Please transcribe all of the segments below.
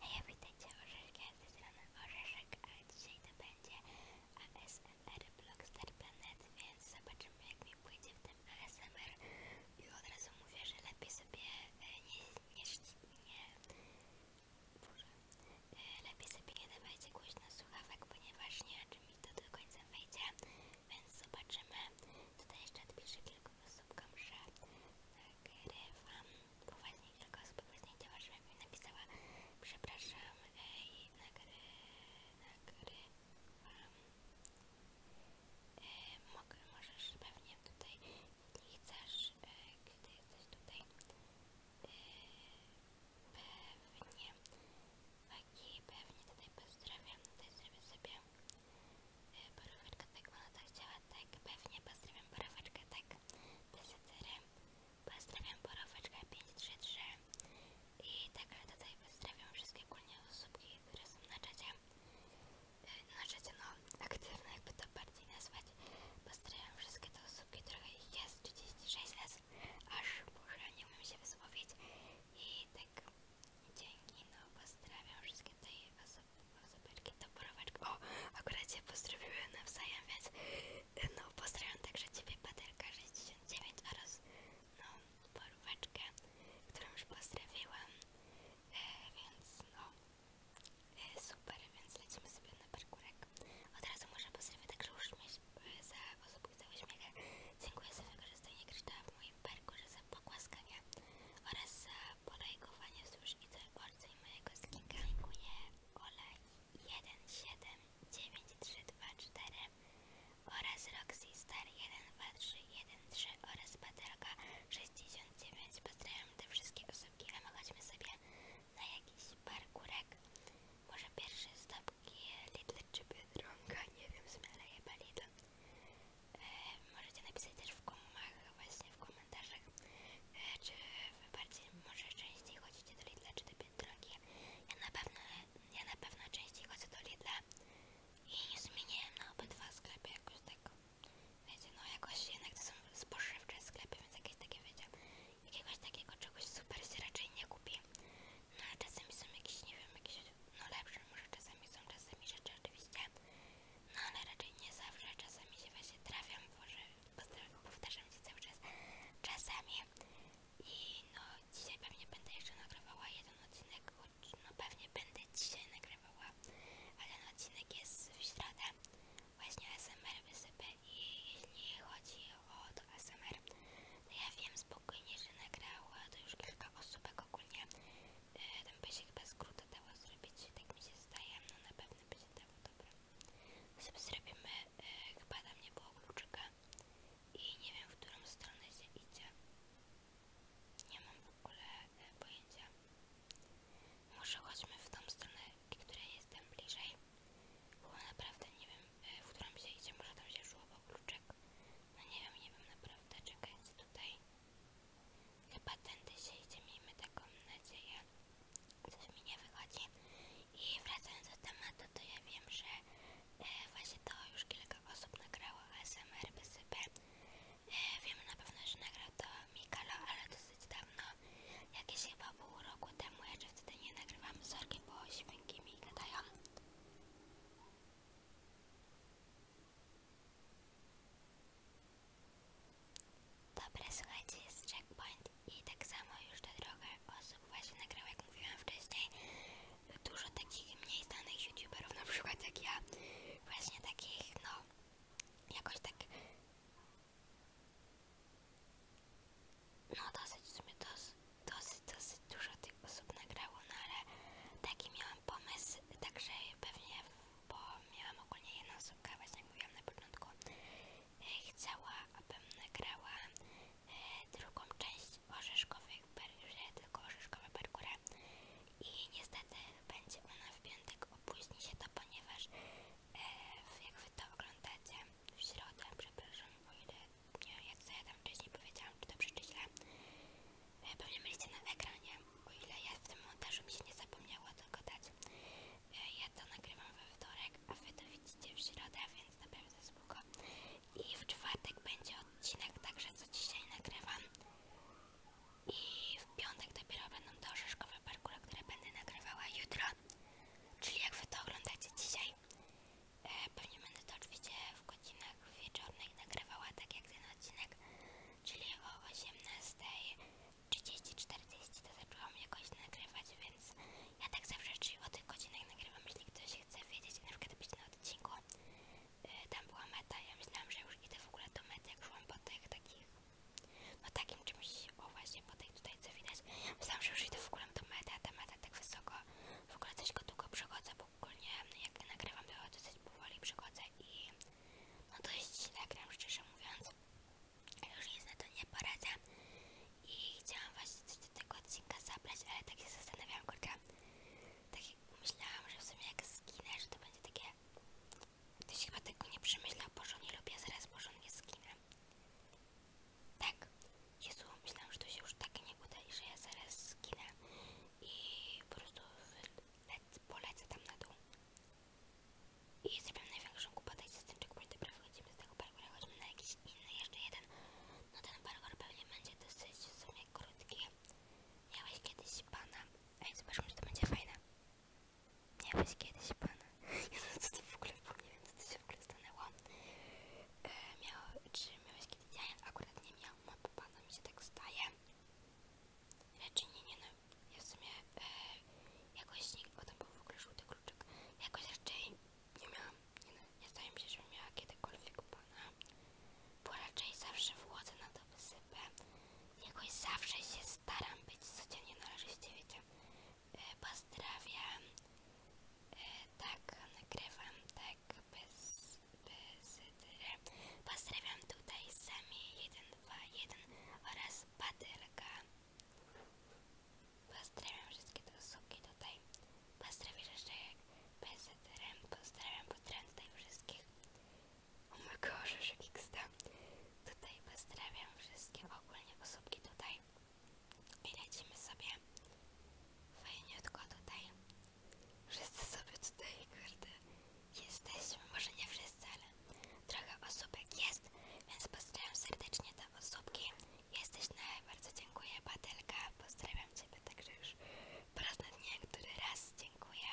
Hej, witajcie orzeszki, a ze strony orzeszek, a dzisiaj to będzie ASMR blogster planety, więc zobaczymy jak mi pójdzie w tym ASMR i od razu mówię, że lepiej sobie e, nie, nie, nie, Boże, e, lepiej sobie nie dawajcie głośno słuchawek, ponieważ nie wiem czy mi to do końca wejdzie, więc zobaczymy. Tutaj jeszcze odpiszę kilku osobkom, że nagrywam, e, bo kilka osób poważnie chciała, żebym mi napisała przepraszam, ej, nagrywam. E, mogę, możesz pewnie tutaj, jeśli chcesz, yy, e, gdy jesteś tutaj, yy, pewnie Chłopaki pewnie tutaj pozdrawiam, tutaj zrobię sobie boróweczkę, e, tak ona tak chciała, tak, pewnie pozdrawiam boróweczkę, tak, desetyry, pozdrawiam boróweczkę 533 i tak, ale tutaj pozdrawiam wszystkie ogólnie osóbki, które są na czacie, e, na czacie, no, aktywne, jakby to bardziej nazwać, pozdrawiam wszystkie te osóbki, trochę ich jest, 36 osób aż może nie umiem się wysłowić i tak dzięki, no pozdrawiam wszystkie te osoby, osoberki, toporowaczki, o, akurat się pozdrowiły nawzajem, więc no pozdrawiam także Ciebie, Paterka 69 oraz no, porwaczkę, którą już pozdrawiłam, e, więc no, e, super, więc lecimy sobie na parkurek. Od razu może pozdrawiam także uśmiech za posłupujące uśmiechy. Dziękuję za wykorzystanie kryształa w moim parku, za pogłaskania oraz za polajkowanie wzdłuż i całej mojego skinka. Dziękuję Ole 179324 oraz Roxy Star 12313 oraz Patelka 69. Pozdrawiam te wszystkie osobki, a mogę sobie na jakiś parkurek. Może pierwszy stop żabki Lidl czy Biedronka, nie wiem, zmiana chyba Lidl. E, możecie napisać też w komach, właśnie w komentarzach, e, czy wy bardziej, może częściej chodzicie do Lidla czy do Biedronki. Ja na pewno, ja na pewno częściej chodzę do Lidla i nie zmieniłem na obydwa sklepy jakoś tak. Wiecie, no jakoś jednak to są spożywcze sklepy, więc jakieś takie, wiecie, jakiegoś takiego czegoś super się raczej nie kupi. No ale czasami są jakieś, nie wiem, jakieś no lepsze, może czasami są czasami rzeczy oczywiście, no ale raczej nie zawsze, czasami się właśnie trafiam, może powtarzam się cały czas, czasami i no dzisiaj pewnie będę jeszcze nagrywała jeden odcinek, no pewnie będę dzisiaj nagrywała, ale odcinek jest w środę, właśnie SMR wysypy i jeśli chodzi o od ASMR. No ja wiem spokojnie, że nagrała to już kilka osób ogólnie. nie. tam by się chyba skróty dało zrobić, tak mi się staje, No na pewno będzie się dało, dobra. Sobie zrobimy, e, chyba tam nie było kluczyka i nie wiem, w którą stronę się idzie. Nie mam w ogóle e, pojęcia. Może chodźmy w tą stronę, która jest tam bliżej. Bo naprawdę nie wiem, e, w którą się idzie, może tam się szło po kluczek. No nie wiem, nie wiem naprawdę, czekajcie tutaj. Chyba tędy się idzie, miejmy taką nadzieję. że mi nie wychodzi. I wracając do tematu, to ja wiem, że e, właśnie to już kilka osób nagrało ASMR Besypę. E, wiem na pewno, że nagrał to Mikalo, ale dosyć dawno. Jakieś chyba po pół roku temu, jeszcze wtedy nie nagrywam sorki, bo świnki mi gadają. Dobra, słuchajcie, jest checkpoint i tak samo już to trochę osób właśnie nagrało, jak mówiłam wcześniej, dużo takich mniej znanych youtuberów, na przykład jak ja, właśnie takich, no, jakoś tak no dosyć w dos, dosyć, dosyć dużo tych osób nagrało, no ale taki miałam pomysł, także pewnie, bo miałam ogólnie jedną osobkę, właśnie jak mówiłam na początku, e, chciała, abym nagrała e, drugą część orzeszkowych, tylko orzeszkowe parkura i niestety będzie ona w piątek, opóźni się to, ponieważ E, jak wy to oglądacie w środę, przepraszam, bo ile nie wiem co ja tam wcześniej powiedziałam, czy to przeczyśle pewnie byliście na ekranie, o ile ja w tym montażu mi się nie zapomniało tego dać e, ja to nagrywam we wtorek, a wy to widzicie w środę, więc na pewno spoko i w czwartek będzie odcinek, także co dzisiaj nagrywam i w piątek dopiero będą te orzeszkowe parkury, które będę nagrywała jutro Czyli jak wy to oglądacie dzisiaj, e, pewnie będę to oczywiście w godzinach wieczornych nagrywała, tak jak ten odcinek, czyli o 18.30-40 to zaczęłam jakoś nagrywać, więc ja tak zawsze czyli o tych godzinach nagrywam, jeśli ktoś chce wiedzieć, na przykład być na odcinku, e, tam była meta, ja myślałam, że już idę w ogóle do mety, jak szłam po tych takich no takim czymś, o właśnie po tutaj co widać, myślałam, że już idę w ogóle do mety, a ta meta tak wysoko, w ogóle coś go długo przechodzę, bo ogólnie jak nagrywam to dosyć powoli przechodzę i no dość źle gram szczerze mówiąc, już nic na to nie poradzę i chciałam właśnie coś do tego odcinka zabrać, ale tak się zastanawiałam, kurczę, tak myślałam, że w sumie jak skinę, że to będzie takie Ktoś chyba tego nie przemyślał porządnie lub ja zaraz porządnie zginę. Tak, Jezu, myślałam, że to się już takie nie uda i że ja zaraz zginę i po prostu lec, polecę tam na dół. I zrobiłam największą głupotę i z tym checkpointem prawie chodzimy z tego parkura, chodźmy na jakiś inny, jeszcze jeden. No ten parkour pewnie będzie dosyć w sumie krótki. Miałeś kiedyś pana. Ej, zobaczmy, czy to będzie fajne nie Miałeś kiedyś pana. Ja co ty w ogóle nie wiem, co to się w ogóle stanęło. E, miał, czy miałeś kiedyś. Ja akurat nie miałam, bo pana mi się tak staje. Raczej nie, nie no. Ja w sumie e, jakoś nigdy. był w ogóle żółty kluczyk. Jakoś raczej nie miałam. Nie no, nie zdaje mi się, żebym miała kiedykolwiek pana. Bo raczej zawsze wchodzę na to wysypę. Jakoś zawsze się staram być codziennie należyście, wiecie. E, pozdrawiam. E, tak, nagrywam, tak, bez, bez e, Pozdrawiam tutaj Sami121 oraz Patylka. Pozdrawiam wszystkie te usługi tutaj. Pozdrawiam jeszcze PZRM, pozdrawiam, pozdrawiam tutaj wszystkich. O mój Boże, Szykiksta. Tutaj pozdrawiam wszystkie ogólnie osobki tutaj. I lecimy sobie fajniutko tutaj. Wszyscy sobie tutaj, kurde, jesteśmy. Może nie wszyscy, ale trochę osóbek jest, więc pozdrawiam serdecznie te osóbki. Jesteś na, bardzo dziękuję, Patelka. Pozdrawiam Ciebie także już po raz na dnie, raz dziękuję.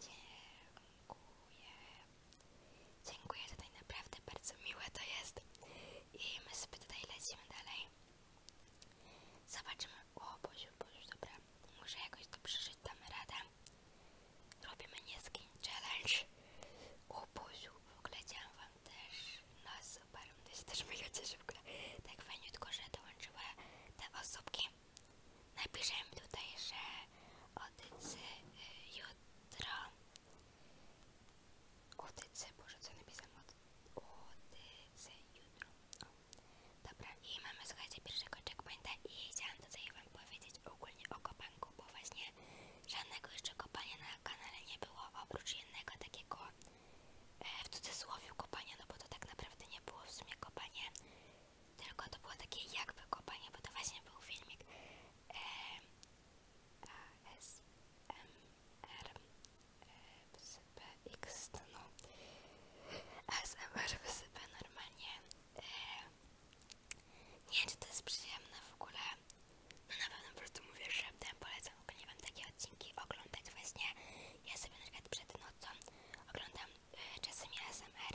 Dziękuję. Dziękuję, tutaj naprawdę bardzo miłe to jest. I my sobie tutaj lecimy dalej. Zobaczymy. O, Boziu, Boziu, dobra. Muszę jakoś to przeżyć, damy rada. Robimy nieskin challenge. O, Boziu, w ogóle chciałam wam też. No super, to się też mega cieszę w ogóle. Tak fajnie, tylko że dołączyła te osobki. Napiszemy tutaj, że otycy y, jutro. Otycy, boże co napisałem? Otycy jutro. Dobra, i mamy z słuchajcie pierwszego checkpointa i chciałam tutaj wam powiedzieć ogólnie o kopanku, bo właśnie żadnego jeszcze kopania na kanale nie było, oprócz jednego takiego E, w cudzysłowie kopanie, no bo to tak naprawdę nie było w sumie kopanie, tylko to było takie jakby kopanie, bo to właśnie był filmik e, ASMR e, PX, no ASMR wysypę normalnie nie wiem, czy to jest przyjemne w ogóle no na pewno po prostu mówię szeptem, polecam bardzo lubiłam takie odcinki oglądać właśnie. Ja sobie na przed nocą oglądam y, czasami ASMR,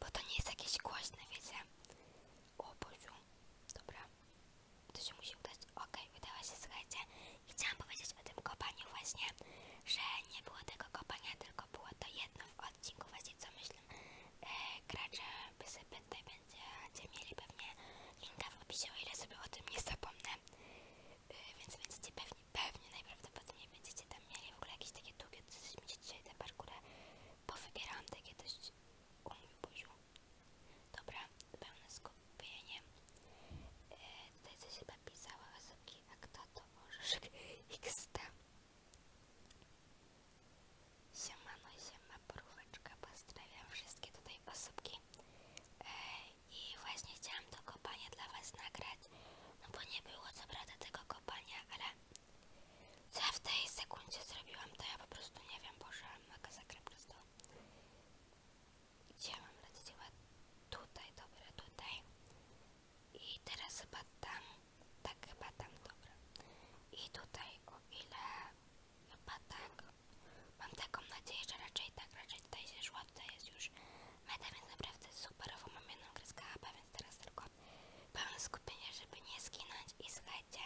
bo to nie jest jakieś głośne, wiecie. O Boziu, dobra, to się musi udać. Okej, okay, udało się, słuchajcie. I chciałam powiedzieć o tym kopaniu właśnie, że nie było tego kopania, tylko było to jedno w odcinku właśnie, co myślę. E, gracze by sobie tutaj będziecie mieli pewnie linka w opisie, o ile sobie o tym nie zapomnę. E, więc będziecie pewnie, pewnie najprawdopodobniej będziecie tam mieli w ogóle jakieś takie długie, coś mi się dzisiaj te parkury powybierałam takie dość o mój buziu. Dobra, pełne skupienie. Yy, tutaj coś chyba pisała osobki, a kto to orzeszek XT? Siemano, siema, poróweczka, pozdrawiam wszystkie tutaj osobki. E, i właśnie chciałam to kopanie dla was nagrać no bo nie było co prawda tego kopania, ale co w tej sekundzie zrobiłam to ja po prostu nie wiem, poszłam na zakrę prosto gdzie mam lecieć chyba tutaj, dobra, tutaj i teraz chyba tam tak chyba tam, dobra i tutaj o ile chyba tak Mam taką nadzieję, że raczej tak, raczej tutaj się szła, tutaj jest już meta, więc naprawdę superowo mam jedną kreskę HP, więc teraz tylko pełne skupienie, żeby nie skinąć i słuchajcie,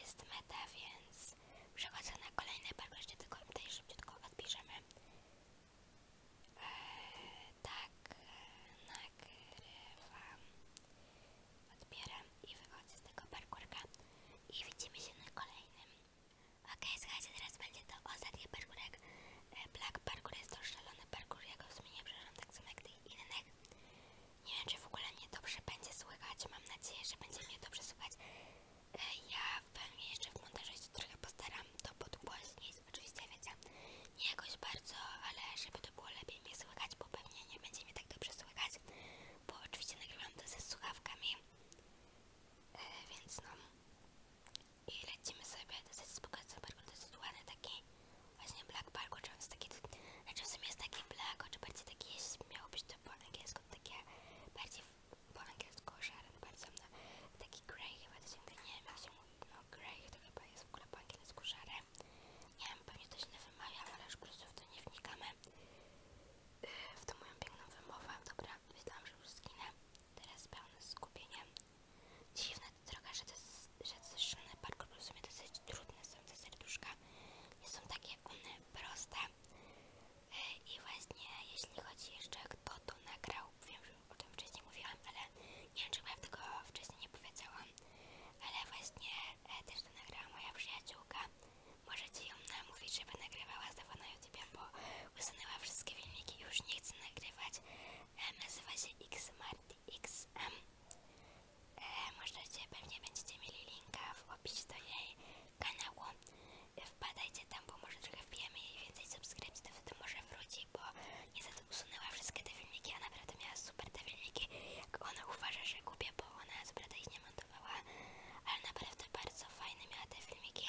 jest meta, więc przechodzę na kolejny parkour, jeszcze tylko tutaj szybciutko odpiszemy. Eee, tak, eee, nagrywam, odbieram i wychodzę z tego parkurka i widzimy się na kolejnym. Okej, słuchajcie, teraz będzie to ostatni parkour jak Black e, Parkour jest to szalony parkour, ja go w sumie tak samo jak tych innych. Nie wiem, czy w ogóle mnie dobrze będzie słychać, mam nadzieję, że będzie mnie dobrze słychać. E, ja pewnie jeszcze w montażu się trochę postaram to podgłośnić, oczywiście wiecie, nie jakoś bardzo, ale żeby to było lepiej mnie słychać, bo pewnie nie będzie mnie tak dobrze słychać, bo oczywiście nagrywam to ze słuchawkami. E, więc no i lecimy sobie dosyć spokojnie parku, to jest ładny taki właśnie black parku, czy on jest taki, znaczy w jest taki black, czy bardziej taki, jeśli miało być to po angielsku, takie bardziej po angielsku szary, bardzo no, taki grey chyba to się nie wiem jak się mówi, no grey to chyba jest w ogóle po angielsku szary, nie wiem, pewnie to źle wymawiam, ale już po w to nie wnikamy. Y, w tą moją piękną wymowę. Dobra, myślałam, że już zginę. Teraz pełne skupienie. dziwna to droga, że te zeszczone parkour w sumie dosyć trudne są te serduszka. Nie są takie one proste. Y, I właśnie jeśli chodzi jeszcze kto to nagrał, wiem, że o tym wcześniej mówiłam, ale nie wiem, czy chyba tego wcześniej nie powiedziałam, ale właśnie y, też to nagrała moja przyjaciółka. Możecie ją namówić, żeby nagrywała znowu na YouTube, bo usunęła wszystkie filmiki i już nie chce nagrywać. E, nazywa się XMartyXM. E, możecie, pewnie będziecie mieli linka w opisie do jej kanału. E, wpadajcie tam, bo może trochę wbijemy jej więcej subskrypcji, to wtedy może wróci, bo niestety usunęła wszystkie te filmiki, a naprawdę miała super te filmiki, ona uważa, że kupię, bo ona naprawdę ich nie ale naprawdę bardzo fajne miała te filmiki,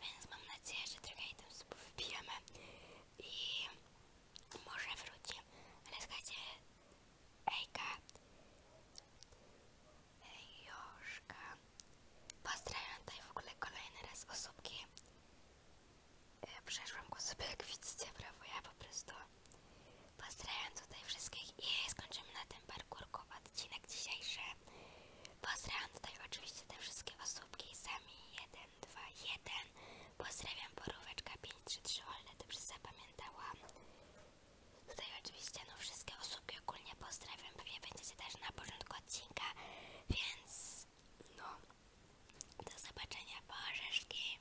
więc mam nadzieję, że trochę jej tam sobie wbijemy i może wróci, ale słuchajcie, Ejka, Joszka, pozdrawiam tutaj w ogóle kolejny raz osobki, e, przeszłam go sobie jak widzicie, brawo, ja po prostu Pozdrawiam tutaj wszystkich i skończymy na tym parkurku odcinek dzisiejszy. Pozdrawiam tutaj oczywiście te wszystkie osóbki, sami 1, 2, 1. Pozdrawiam poróweczka 533, ale dobrze zapamiętałam. Tutaj oczywiście no wszystkie osóbki ogólnie pozdrawiam, pewnie będziecie też na początku odcinka, więc no do zobaczenia, pożeszki.